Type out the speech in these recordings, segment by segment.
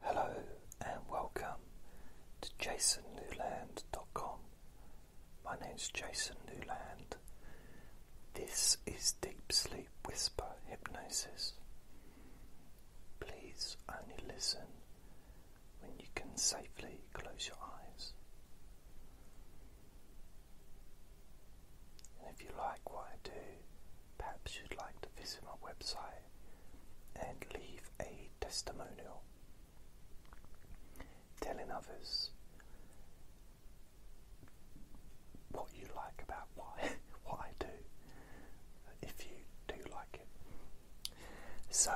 Hello and welcome to jasonnewland.com. My name's Jason Newland. This is Deep Sleep Whisper Hypnosis. Please only listen when you can safely close your eyes. And if you like what I do, perhaps you'd like to visit my website and leave a testimonial telling others what you like about what, I do, if you do like it. So,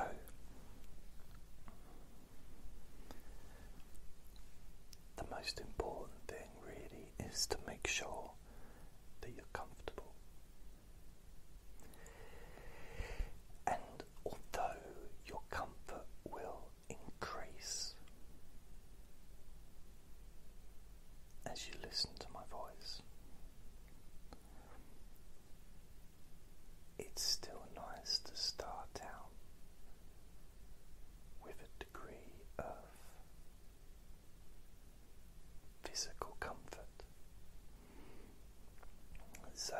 the most important thing really is to make sure that you're comfortable. And although your comfort will increase as you listen to my voice, it's still nice to start out with a degree of physical comfort. So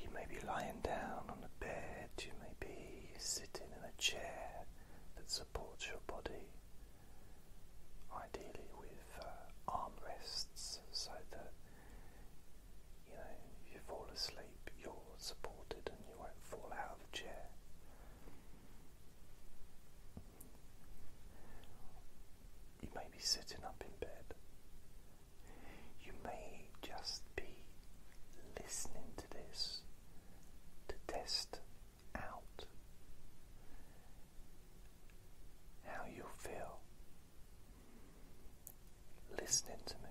you may be lying down on a bed, you may be sitting in a chair that supports your body, ideally with uh, armrests so that you know you fall asleep, you're supported and you won't fall out of the chair. You may be sitting up in bed. You may just be listening to this to test out how you feel listening to me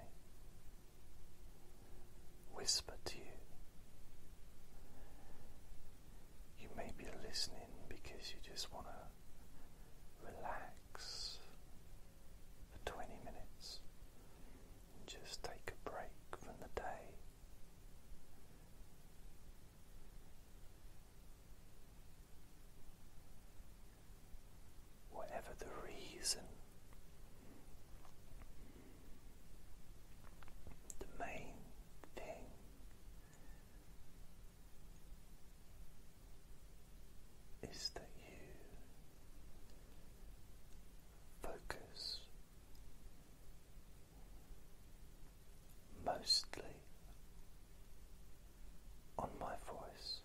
whisper to you. You may be listening because you just want to relax for 20 minutes and just take a break from the day. Whatever the reason, the main thing is that you focus mostly on my voice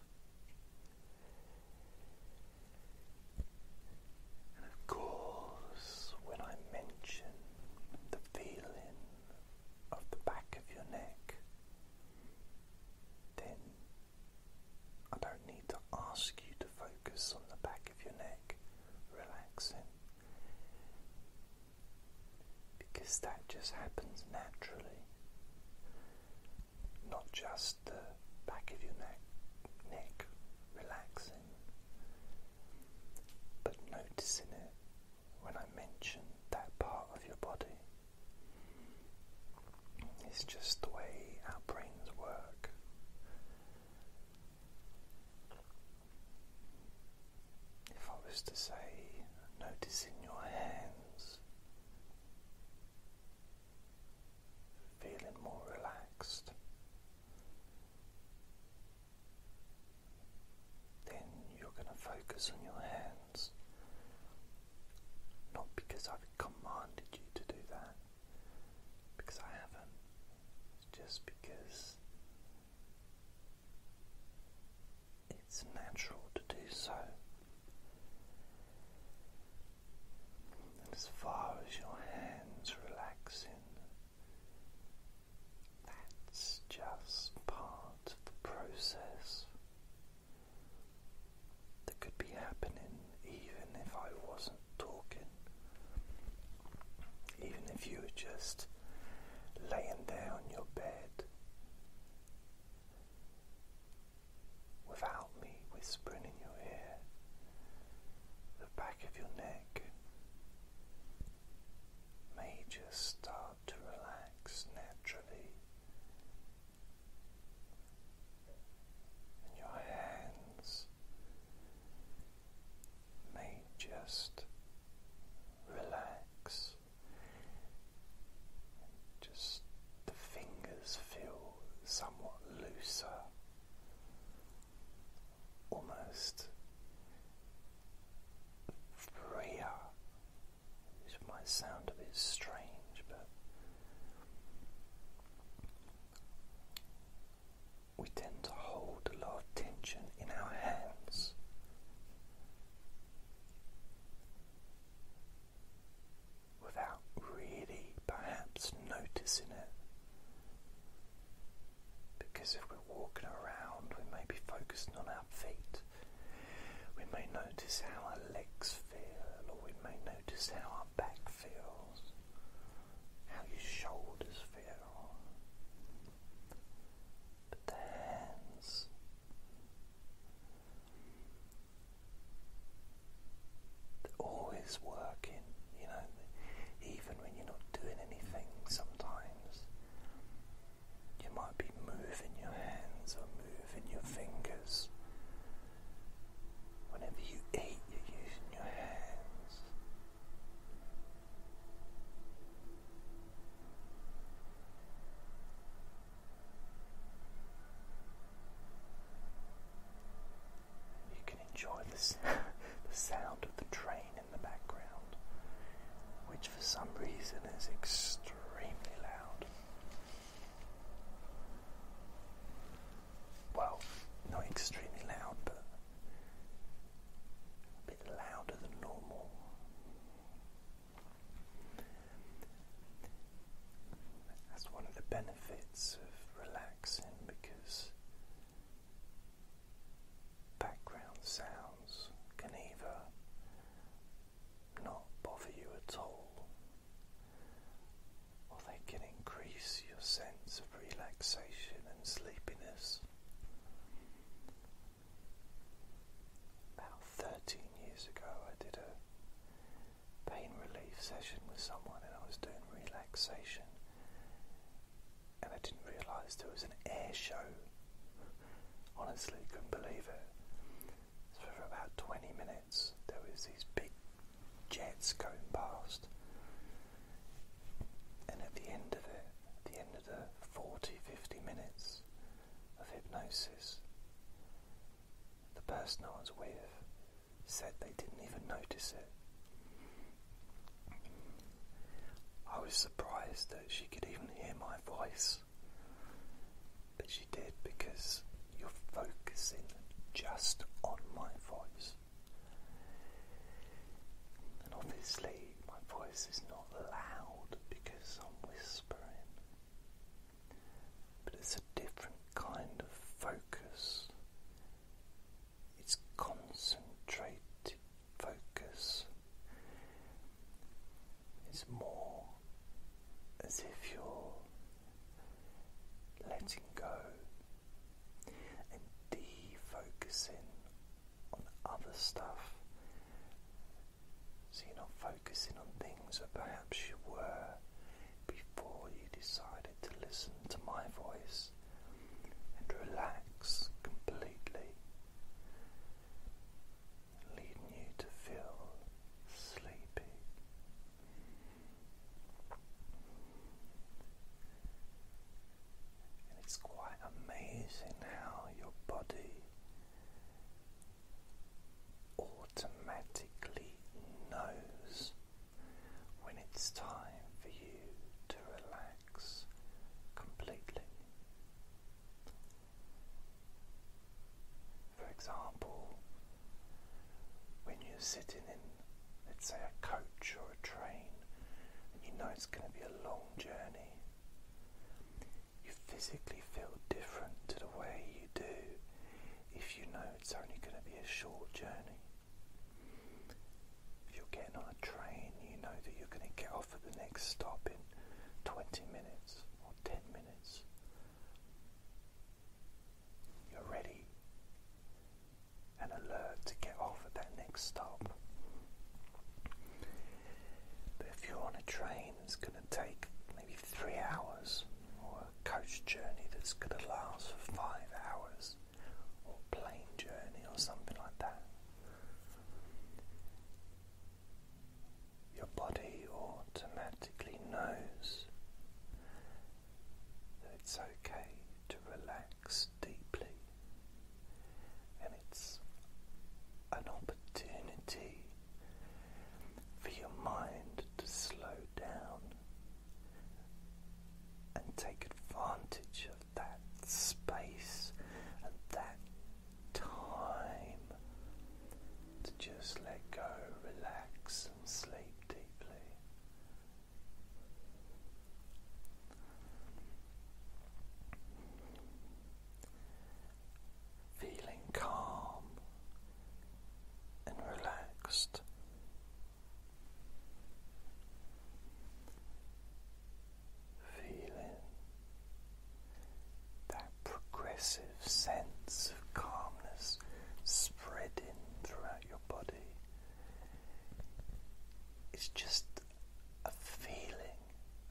of course, when I mention the feeling of the back of your neck, then I don't need to ask you to focus on the back of your neck relaxing because that just happens naturally. Not just the back of your neck, neck relaxing, but noticing it when I mention that part of your body. It's just the way our brains work. If I was to say, noticing your hands, feeling more relaxed, then you're going to focus on your hands. Not because I've commanded you to do that, because I haven't, just because it's natural to do so and as far as your hands relaxing. That's just part of the process that could be happening even if I wasn't talking, even if you were just laying there on your bed without me whispering in your ear, the back of your neck may just start to relax naturally, and your hands may just relax. Just the fingers feel somewhat looser almost freer, might sound a bit strange, but we tend to hold a lot of tension in our hands without really perhaps noticing it. Because if we're walking around, we may be focusing on our feet. We may notice how our legs feel, or we may notice how our back feels, how your shoulders feel. But the hands, they're always working, you know, even when you're not doing anything sometimes. You might be moving your hands or moving your fingers. Whenever you eat, you're using your hands. You can enjoy the sound of the train in the background, which for some reason is extremely loud. Well, not extremely loud, but a bit louder than normal. That's one of the benefits of relaxing because background sounds can even not bother you at all or they can increase your sense of relaxation and sleepiness. About 13 years ago, I did a pain relief session with someone and I was doing relaxation and I didn't realise there was an air show. Honestly, couldn't believe it. So for about 20 minutes there was these big jets going past and at the end of it, at the end of the 40-50 minutes of hypnosis, the person I was with said they didn't even notice it. I was surprised that she could even hear my voice, but she did because you're focusing just on my voice. And obviously, my voice is not loud because I'm whispering but it's a different kind of focus. It's concentrated focus. It's more as if you're letting go and defocusing on other stuff so you're not focusing on things that perhaps you were before you decided to listen to my voice and relax completely, leading you to feel sleepy. And it's quite amazing how your body automatically knows when it's time for you to relax completely. For example, when you're sitting in, let's say, a coach or a train, and you know it's going to be a long journey, you physically feel different to the way you do if you know it's only going to be a short journey. If you're getting on a train, you know that you're going to get off at the next stop in 20 minutes or 10 minutes. You're ready and alert to get off at that next stop. But if you're on a train, it's going to take maybe three hours, or a coach journey that's going to last for five hours, or plane journey, or something like that. Your body automatically knows that it's okay to relax deeply, and it's an opportunity for your mind to slow down and take advantage of that space and that time to just let go, relax, and sleep deeply feeling calm and relaxed. Feeling that progressive sense of calmness spreading throughout your body. It's just a feeling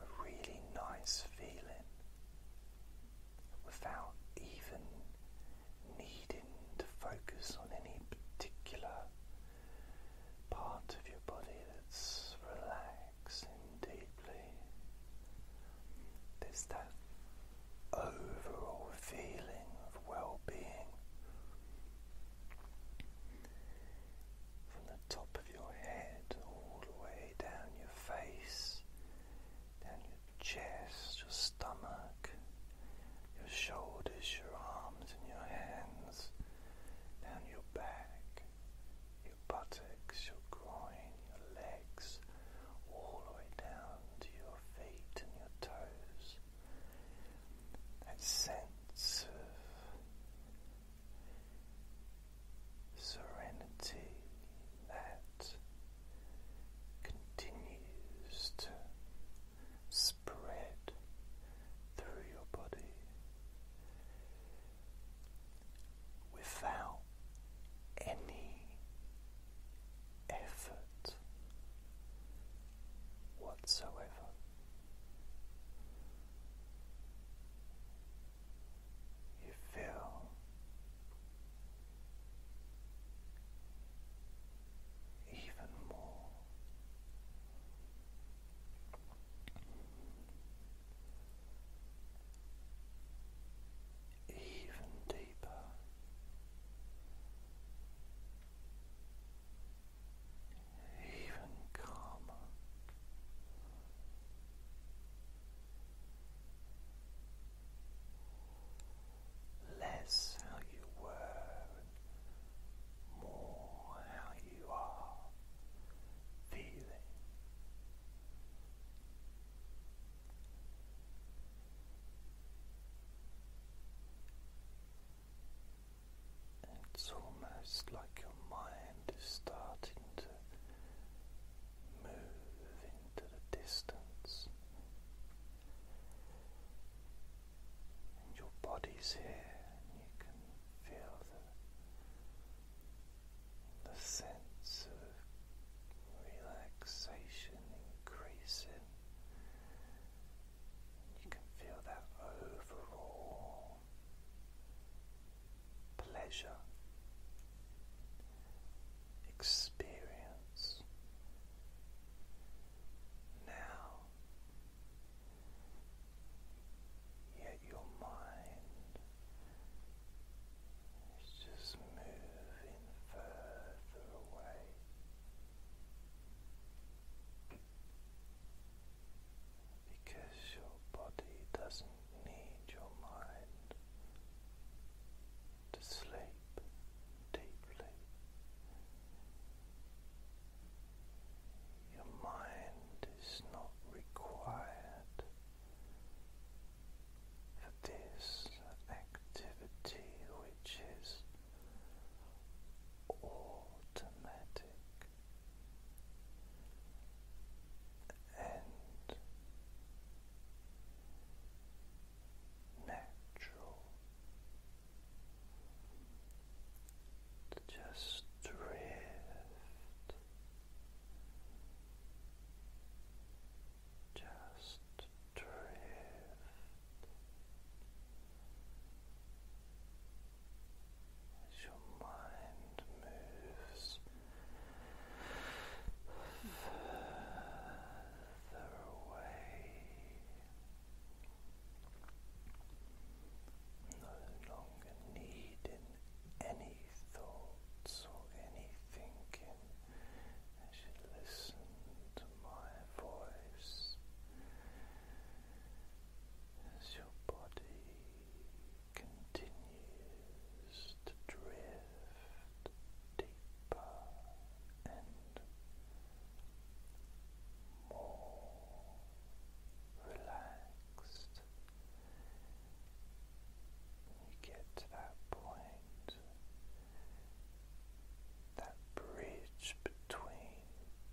a really nice feeling without even needing to focus on any particular part of your body that's relaxing deeply. There's that overall feeling of well being from the top of your head all the way down your face, down your chest, your stomach, your shoulders, your arms, and your hands, down your back, your buttocks, your groin, your legs, all the way down to your feet and your toes. That sense of serenity that continues to spread through your body without any effort whatsoever you feel even more. Even deeper, even calmer. Less how you were more how you are feeling it's almost like your mind is starting to move into the distance, and your body's here, and you can feel the, the sense of relaxation increasing. You can feel that overall pleasure, experience now, yet your mind is just moving further away because your body doesn't need your mind to sleep deeply. Your mind is not required for this activity which is automatic and natural just drift, just drift as your mind moves further away, no longer needing any thoughts or any thinking as you listen to my voice as your body continues to drift deeper and more relaxed. You get to that point, that bridge between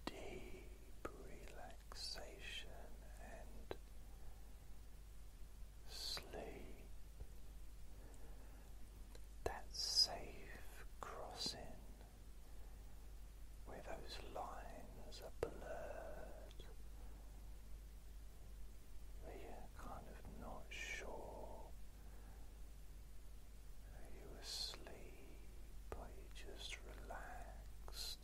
deep relaxation and sleep. That safe crossing where those lines are blurred, where you're kind of not sure are you asleep? Are you just relaxed?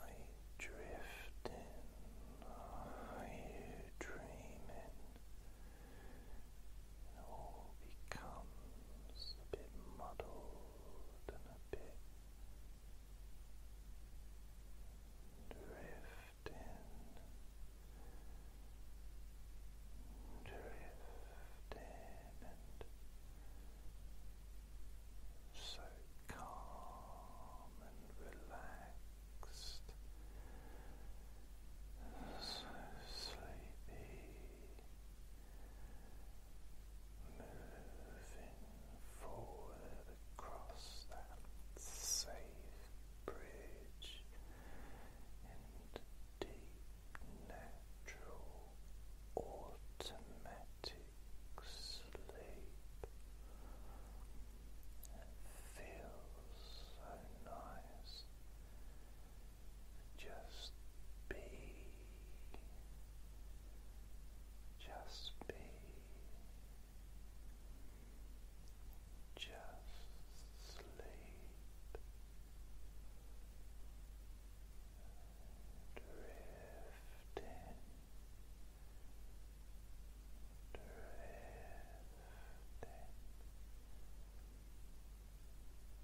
Are you drifting? Are you dreaming? It all becomes a bit muddled and a bit drifting drifting and so calm and relaxed, so sleepy, moving forward across that safe bridge and deep natural automatic sleep. feels so nice. Just be, just be, just sleep drifting, drifting,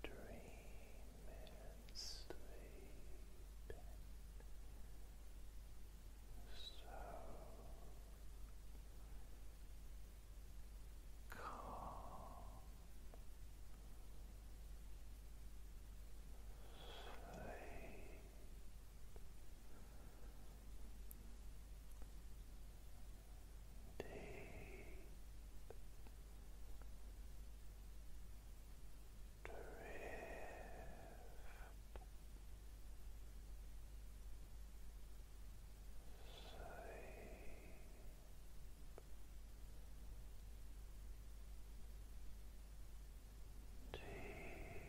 dreaming sleeping. So Deep. Drift. Drift deep drifting Drifting,